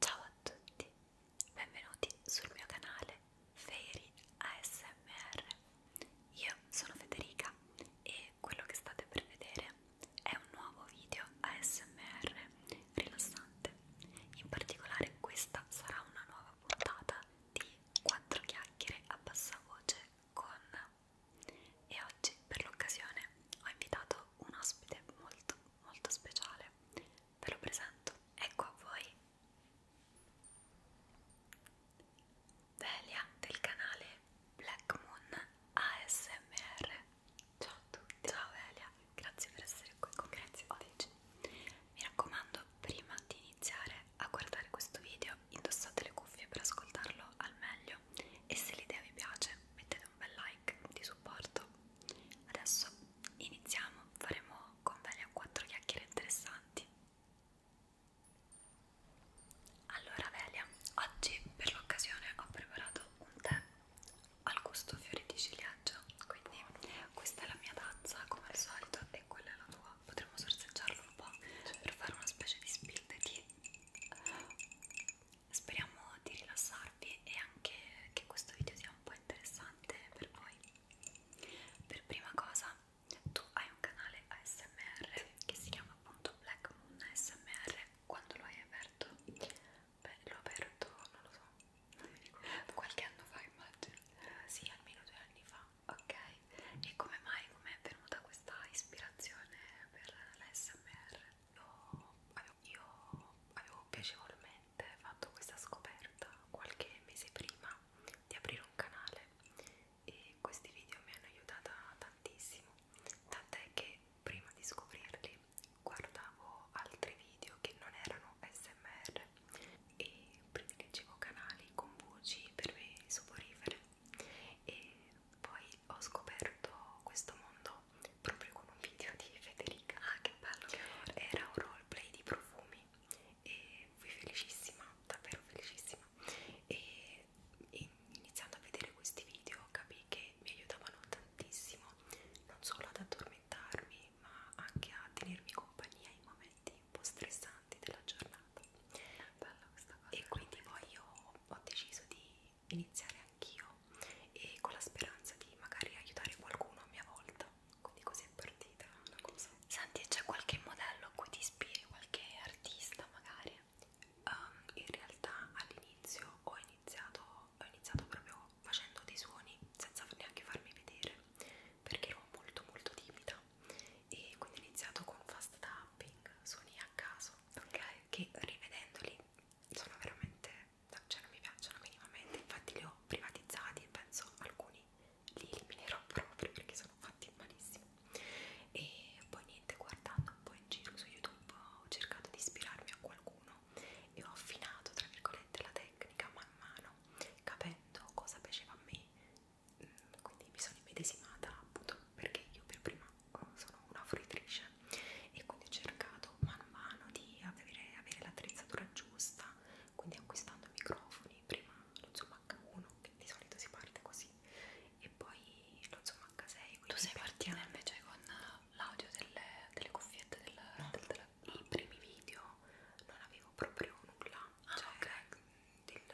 Ciao a tutti, benvenuti sul mio canale Fairy ASMR. Io sono Federica e quello che state per vedere è un nuovo video ASMR rilassante. In particolare questa sarà una nuova puntata di 4 chiacchiere a bassa voce con e oggi per l'occasione ho invitato un ospite molto molto speciale ve lo presento ecco a voi Delia del canale Black Moon ASMR ciao a tutti ciao Delia grazie per essere qui con grazie oggi mi raccomando prima di iniziare a guardare questo video indossate le cuffie per ascoltarlo al meglio e se l'idea vi piace mettete un bel like di supporto. Adesso iniziamo, faremo con Delia 4 chiacchiere interessanti. Allora Velia, oggi per l'occasione ho preparato un tè al gusto fiori di ciliegio, quindi questa è la mia tazza come al solito e quella è la tua. Potremmo sorseggiarlo un po' per fare una specie di spill di speriamo di rilassarvi e anche che questo video sia un po' interessante per voi. Per prima cosa, tu hai un canale ASMR che si chiama appunto Black Moon ASMR. Quando lo hai aperto? Beh, l'ho aperto, non lo so, non mi ricordo. Qualche anno fa, immagino. Sì, almeno due anni fa. Ok, e come mai? Com'è venuta questa ispirazione per l'ASMR? Lo avevo io avevo piacevolmente fatto questa scoperta qualche mese prima di aprire un canale e questi video mi hanno aiutata tantissimo, tant'è che prima di scoprirli guardavo altri video che non erano smr e privilegiavo canali con voci per me soporifere e poi ho scoperto questo mondo proprio con un video di Federica ah che bello che era un roleplay di profumi e fui felicissima davvero felicissima e, e iniziando a vedere questi video capii che mi aiutavano tantissimo non solo ad addormentarmi ma anche a tenermi compagnia in momenti un po' stressanti della giornata Bella questa cosa e quindi poi io ho deciso di iniziare anch'io e con la speranza di magari aiutare qualcuno a mia volta quindi così è partita una cosa Santi c'è qualche modello a cui ti ispiri qualche artista magari um, in realtà all'inizio ho iniziato ho iniziato proprio facendo dei suoni senza neanche farmi vedere perché ero molto molto timida e quindi ho iniziato con fast tapping suoni a caso ok che rivedendoli sono veramente, cioè non mi piacciono minimamente, infatti li ho privatizzati e penso alcuni li eliminerò proprio perché sono fatti malissimo. E poi niente, guardando un po' in giro su YouTube ho cercato di ispirarmi a qualcuno e ho affinato tra virgolette la tecnica man mano, capendo cosa piaceva a me, mm, quindi mi sono immedesimata appunto perché io per prima sono una fruitrice e quindi ho cercato man mano di avere, avere l'attrezzatura giusta, quindi acquistando microfoni, prima lo Zoom H1 che di solito si parte così e poi lo Zoom H6. Tu sei partita piano. invece con l'audio delle, delle cuffiette del, no. del, del, dei primi video, non avevo proprio nulla, ah, cioè okay.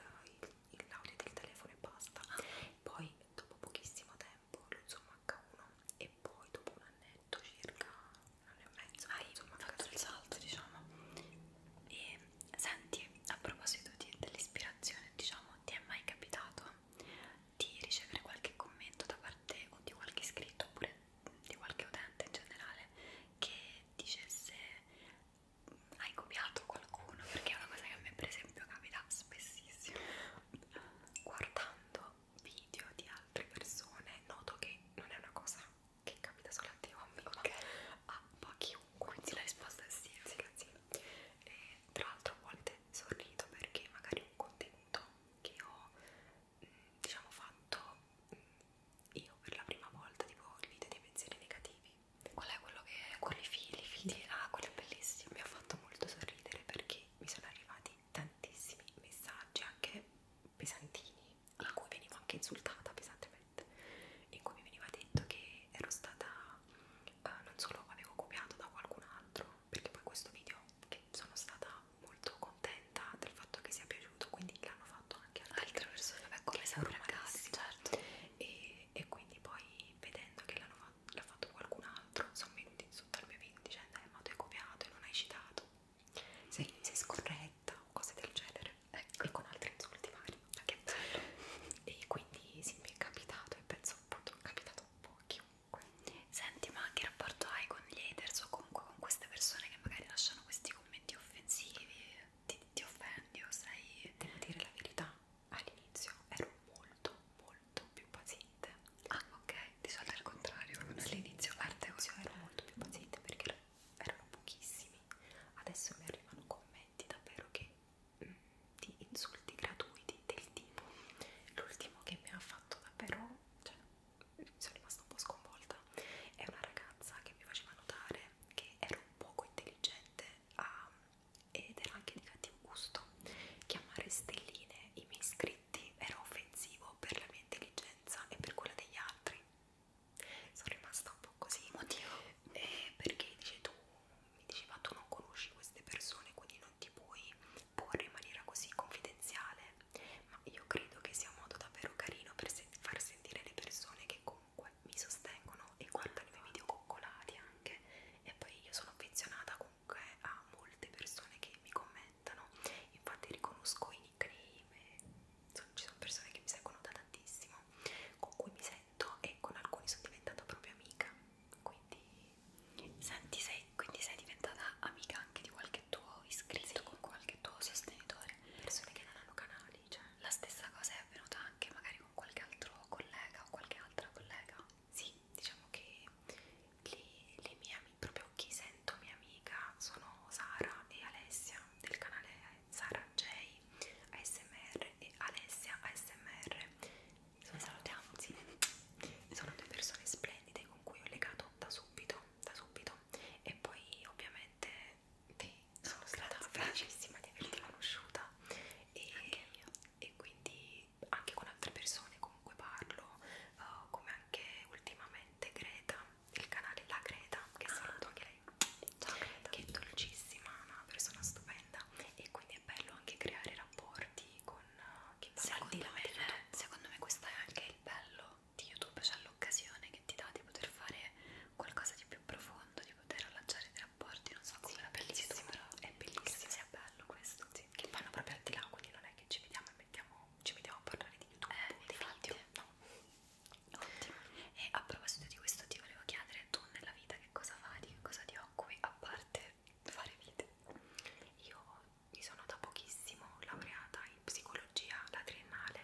l'audio del telefono e basta. Ah. Poi dopo pochissimo tempo tempo l'Uzum H1 e poi dopo un annetto circa, un anno e mezzo, hai insomma, fatto il salto diciamo e senti, a proposito dell'ispirazione diciamo, ti è mai capitato di ricevere qualche commento da parte o di qualche iscritto oppure di qualche utente in generale che dicesse mm, hai copiato qualcuno perché è una cosa che a me per esempio capita spessissimo guardando video di altre persone noto che non è una cosa che capita solo a te o a me, okay. ma a ah, chiunque. Quindi la risposta è sì, sì, sì. E tra l'altro a volte sorrido perché magari un contenuto che ho mm, diciamo fatto mm, io per la prima volta, tipo il video dei pensieri negativi. Qual è quello che con i figli, figli? Ah, quello è bellissimo, mi ha fatto molto sorridere perché mi sono arrivati tantissimi messaggi anche pesantini in cui venivo anche insultata pesantemente in cui mi veniva detto che ero stata eh, non solo avevo copiato da qualcun altro perché poi questo video che sono stata molto contenta del fatto che sia piaciuto quindi l'hanno fatto anche altre persone vabbè, come sempre certo e, e quindi poi vedendo che l'hanno fatto l'ha fatto qualcun altro, sono venuti sotto al mio video cioè, dicendo eh, ma tu hai copiato e non hai citato, sei, sei scorretta o cose del genere, ecco, e con altri insulti vari, che bello. E quindi sì, mi è capitato e penso appunto è capitato un po' a chiunque. Senti, ma che rapporto hai con gli haters o comunque con queste persone che magari lasciano questi commenti offensivi? Ti, ti offendi o sei... Devo dire la verità, all'inizio ero molto molto più paziente ah ok di solito al contrario all'inizio all'inizio ero molto più paziente perché erano pochissimi adesso mi arrivano commenti davvero che mh, mm, di insulti gratuiti del tipo l'ultimo che mi ha fatto davvero cioè sono rimasta un po' sconvolta è una ragazza che mi faceva notare che ero poco intelligente a ed era anche di cattivo gusto chiamare stelline i miei iscritti era offensivo per la mia intelligenza e per quella degli altri sono rimasta un po' così motivo eh, perché dice tu mi diceva tu non conosci queste persone quindi non ti puoi porre in maniera così confidenziale ma io credo che sia un modo davvero carino per se far sentire le persone che comunque mi sostengono e guardano i miei video coccolati anche e poi io sono affezionata comunque comunque a molte persone che mi commentano, infatti riconosco i nickname, sono, ci sono persone che mi seguono da tantissimo, con cui mi sento e con alcuni sono diventata proprio amica, quindi, Senti, sei, quindi sei diventata amica anche di qualche tuo iscritto, sì. con qualche tuo sostenitore, persone che non hanno canali, cioè la stessa cosa è avvenuta anche magari con qualche altro collega o qualche altra collega sì, diciamo che le, le mie amiche, proprio chi sento mia amica, sono Sara e Alessia del canale Sara J ASMR e Alessia ASMR. Sono salutiamo, sì. Sono due persone splendide con cui ho legato da subito, da subito. E poi ovviamente sì, sono stata felicissima di averti conosciuta e, e quindi anche con altre persone comunque parlo uh, come anche ultimamente Greta il canale La Greta che ah. saluto anche lei Ciao, Greta. che è dolcissima una persona stupenda e quindi è bello anche creare rapporti con uh, chi va al di là di YouTube secondo me questo è anche il bello di YouTube cioè l'occasione che ti dà di poter fare qualcosa di più profondo di poter allacciare della rapporti, non so come sì, era bellissimo, però è bellissimo, sia bello questo, sì. che vanno proprio al di là, quindi non è che ci vediamo e mettiamo, ci vediamo a parlare di YouTube, eh, di video, no. Ottimo. E a proposito di questo ti volevo chiedere, tu nella vita che cosa fai, di che cosa ti occupi, a parte fare video? Io mi sono da pochissimo laureata in psicologia, la triennale,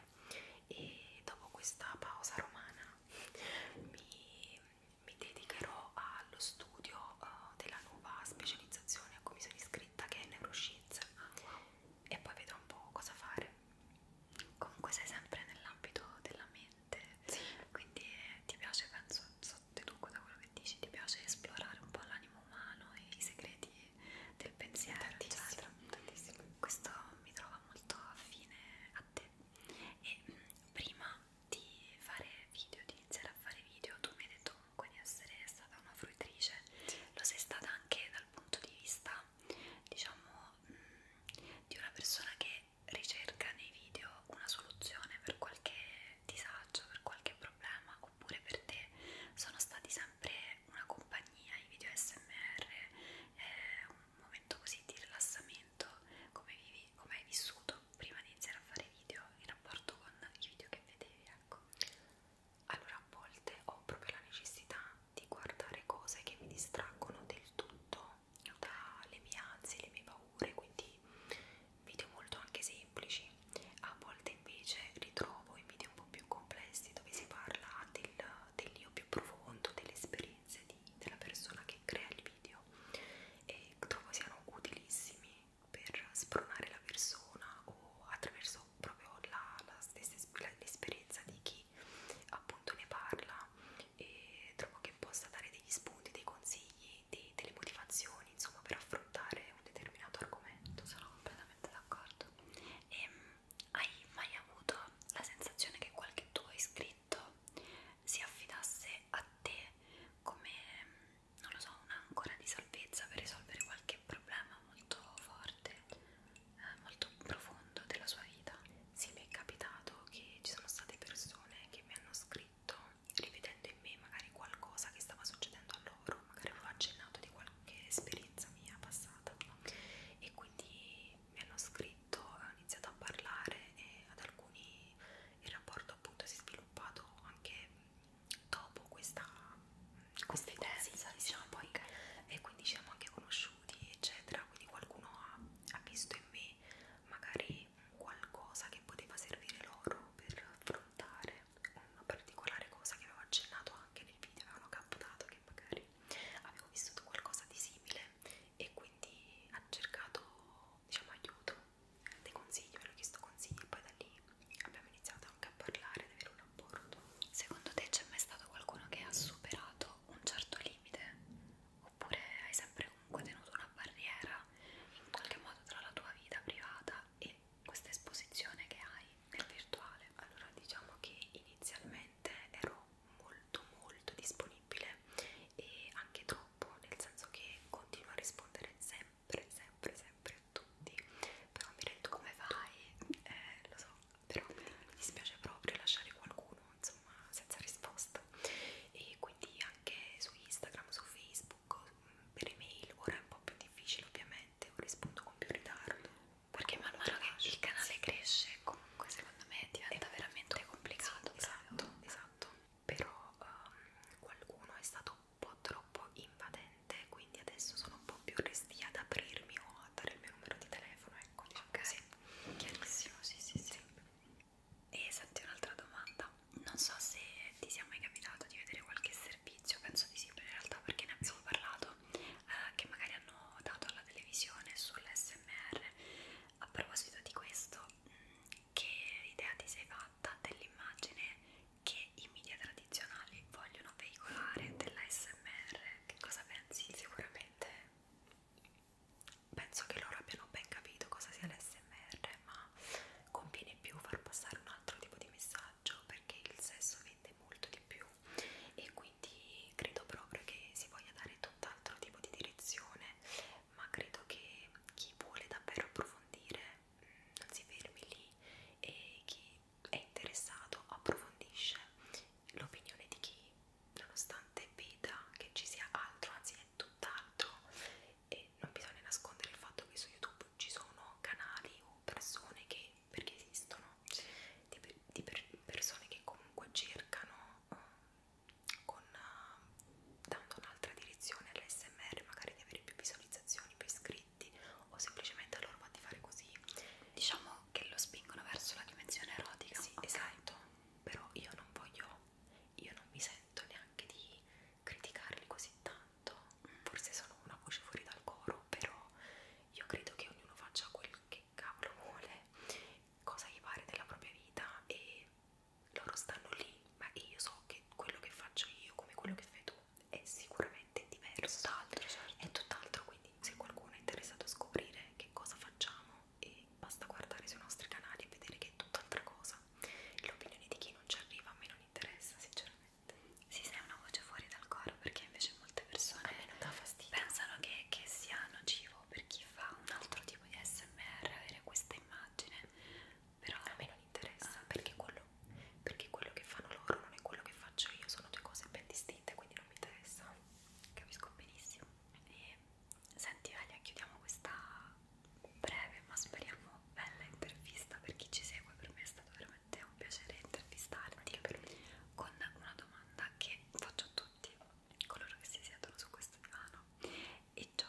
e dopo questa pausa romana mi mi dedicherò allo studio uh, della nuova specializzazione a cui mi sono iscritta che è neuroscienze e poi vedrò un po' cosa fare comunque sei sempre nell'ambito della mente sì. quindi eh, ti piace penso sottoduco da quello che dici ti piace esplorare un po' l'animo umano e i segreti del pensiero tantissimo, eccetera tantissimo. questo mi trova molto affine a te e mh, mm, prima di fare video, di iniziare a fare video, tu mi hai detto comunque di essere stata una fruitrice, lo sei stata anche dal punto di vista, diciamo, mm, di una persona che ricerca nei video una soluzione per qualche disagio, per qualche problema, oppure per te sono stati sempre una compagnia, i video SMR, eh, un momento così di rilassamento come vivi avevi, come hai vissuto prima di iniziare a fare video in rapporto con i video che vedevi, ecco. Allora a volte ho proprio la necessità di guardare cose che mi distraggono del tutto dalle mie ansie, le mie paure, quindi video molto anche semplici. A volte invece ritrovo i video un po' più complessi dove si parla del, dell'io più profondo, delle esperienze di, della persona che crea il video meno e trovo siano utilissimi per spronare la persona o attraverso proprio la, la stessa esperienza di chi appunto ne parla e trovo che possa dare degli spunti, dei consigli, dei, delle motivazioni insomma per affrontare un determinato argomento sono completamente d'accordo e ehm, hai mai avuto la sensazione che qualche tuo iscritto si affidasse a te come, non lo so, un'ancora di salvezza per risolvere qualche problema molto forte, eh, molto profondo della sua vita. Sì, mi è capitato che ci sono state persone che mi hanno scritto rivedendo in me magari qualcosa che stava succedendo a loro, magari avevo accennato di qualche esperienza mia passata, e quindi mi hanno scritto momento ho iniziato a parlare e ad alcuni il rapporto appunto si è sviluppato anche dopo questa, questa intensa, diciamo, diciamo, poi, okay. e quindi ci siamo anche conosciuti, eccetera, quindi qualcuno ha, ha visto in me magari qualcosa che poteva servire loro per affrontare una particolare cosa che avevo accennato anche nel video, avevano captato che magari avevo vissuto qualcosa di simile e quindi ha cercato diciamo aiuto, dei consigli, me l'ho chiesto consigli e poi da lì abbiamo iniziato anche a parlare, ad avere un rapporto. Secondo te c'è mai stato qualcuno che ha superato un certo limite? Oppure hai sempre comunque tenuto una barriera in qualche modo tra la tua vita privata e questa esposizione che hai nel virtuale? Allora diciamo che inizialmente ero molto molto disponibile e anche tu troppo, nel senso che continuo a rispondere sempre, sempre, sempre a tutti, però mi rendo come vai, eh, lo so, però mi dispiace proprio lasciare qualcuno, insomma, senza risposta. E quindi anche su Instagram, su Facebook, mm, per email ora è un po' più difficile ovviamente, o rispondo con più ritardo. Perché man mano che il canale cresce, comunque secondo me diventa veramente complicato. Sì, esatto, esatto però um, qualcuno è stato un po' troppo invadente quindi adesso sono un po' più restia ad aprirmi o a dare il mio numero di telefono ecco diciamo okay. così chiarissimo sì sì sì, sì. e senti un'altra domanda non so se ti sia mai capitato di vedere qualche servizio penso di sì in realtà perché ne abbiamo parlato eh, che magari hanno dato alla televisione sull'SMR a proposito di questo che idea ti sei fatta dell'immagine che i media tradizionali vogliono veicolare dell'ASMR? Che cosa pensi? Sicuramente penso che loro abbiano ben capito cosa sia l'ASMR, ma conviene più far passare un altro tipo di messaggio perché il sesso vende molto di più e quindi credo proprio che si voglia dare tutt'altro tipo di direzione ma credo che chi vuole davvero approfondire mm, non si fermi lì e chi è interessato approfondisce l'opinione di chi nonostante veda che ci sia altro, anzi è tutt'altro e non bisogna nascondere il fatto che su YouTube ci sono canali o persone che, perché esistono, di, di per, persone che comunque cercano con, uh, dando un'altra direzione all'SMR, magari di avere più visualizzazioni, più iscritti o semplicemente a loro va di fare così. Diciamo che lo spingono verso la dimensione erotica. Sì, okay. esatto. Però io non voglio, io non mi sento neanche di criticarli così tanto. Mm. Forse sono una voce fuori dal coro, però io credo che ognuno faccia quel che cavolo vuole, cosa gli pare della propria vita e loro stanno lì, ma io so che quello che faccio io, come quello che fai tu, è sicuramente diverso. Tutt'altro, certo. È tutt'altro, quindi se qualcuno è interessato a scoprire che cosa facciamo, e basta guardare sui nostri canali e vedere che è tutt'altra cosa. L'opinione di chi non ci arriva a me non interessa, sinceramente. Sì, sei una voce fuori dal coro, perché invece molte persone pensano che, che sia nocivo per chi fa un altro tipo di smr avere questa immagine però a me non interessa ah, perché, quello, perché quello che fanno loro non è quello che faccio io sono due cose ben distinte quindi non mi interessa capisco benissimo e senti Alia chiudiamo questa breve ma speriamo bella intervista per chi ci segue per me è stato veramente un piacere intervistarti per me. con una domanda che faccio a tutti coloro che si siedono su questo divano e cioè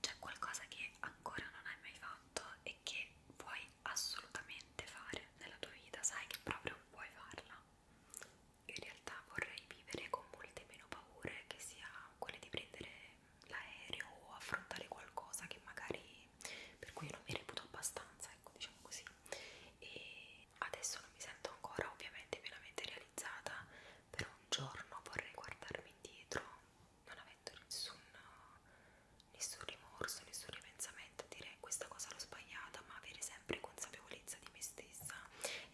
c'è qualcosa che ancora non hai mai fatto e che vuoi assolutamente fare nella tua vita, sai che proprio puoi farla. Io in realtà vorrei vivere con molte meno paure, che sia quelle di prendere l'aereo o affrontare qualcosa che magari per cui non mi reputo abbastanza, ecco, diciamo così. E adesso non mi sento ancora ovviamente pienamente realizzata, però un giorno vorrei guardarmi indietro non avendo nessun, nessun rimorso, nessun ripensamento dire questa cosa l'ho sbagliata ma avere sempre consapevolezza di me stessa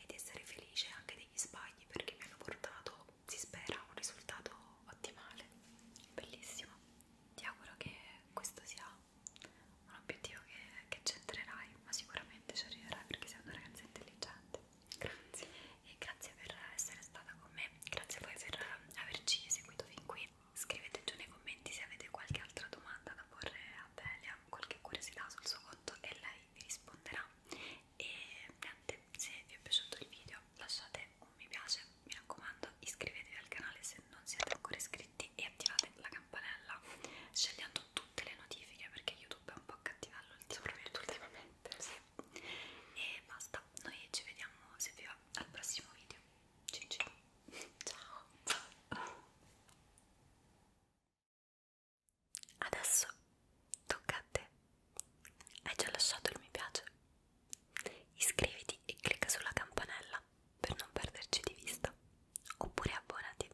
ed essere felice anche degli sbagli perché mi hanno portato, si spera, un risultato ottimale bellissimo ti auguro che questo sia un obiettivo che che c'entrerai, ma sicuramente ci arriverai perché sei una ragazza intelligente. Grazie. E grazie per essere stata con me, grazie a voi per eh, averci seguito fin qui. Scrivete giù nei commenti se avete qualche altra domanda da porre a Delia, qualche curiosità sul suo conto e lei vi risponderà. E niente, se vi è piaciuto il video lasciate un mi piace, mi raccomando iscrivetevi al canale se non siete ancora iscritti e attivate la campanella scegliendo su tutte le notifiche perché YouTube è un po' cattivello ultimamente sì. e basta noi ci vediamo se vi va al prossimo video cin cin. ciao adesso tocca a te hai già lasciato il mi piace iscriviti e clicca sulla campanella per non perderci di vista oppure abbonati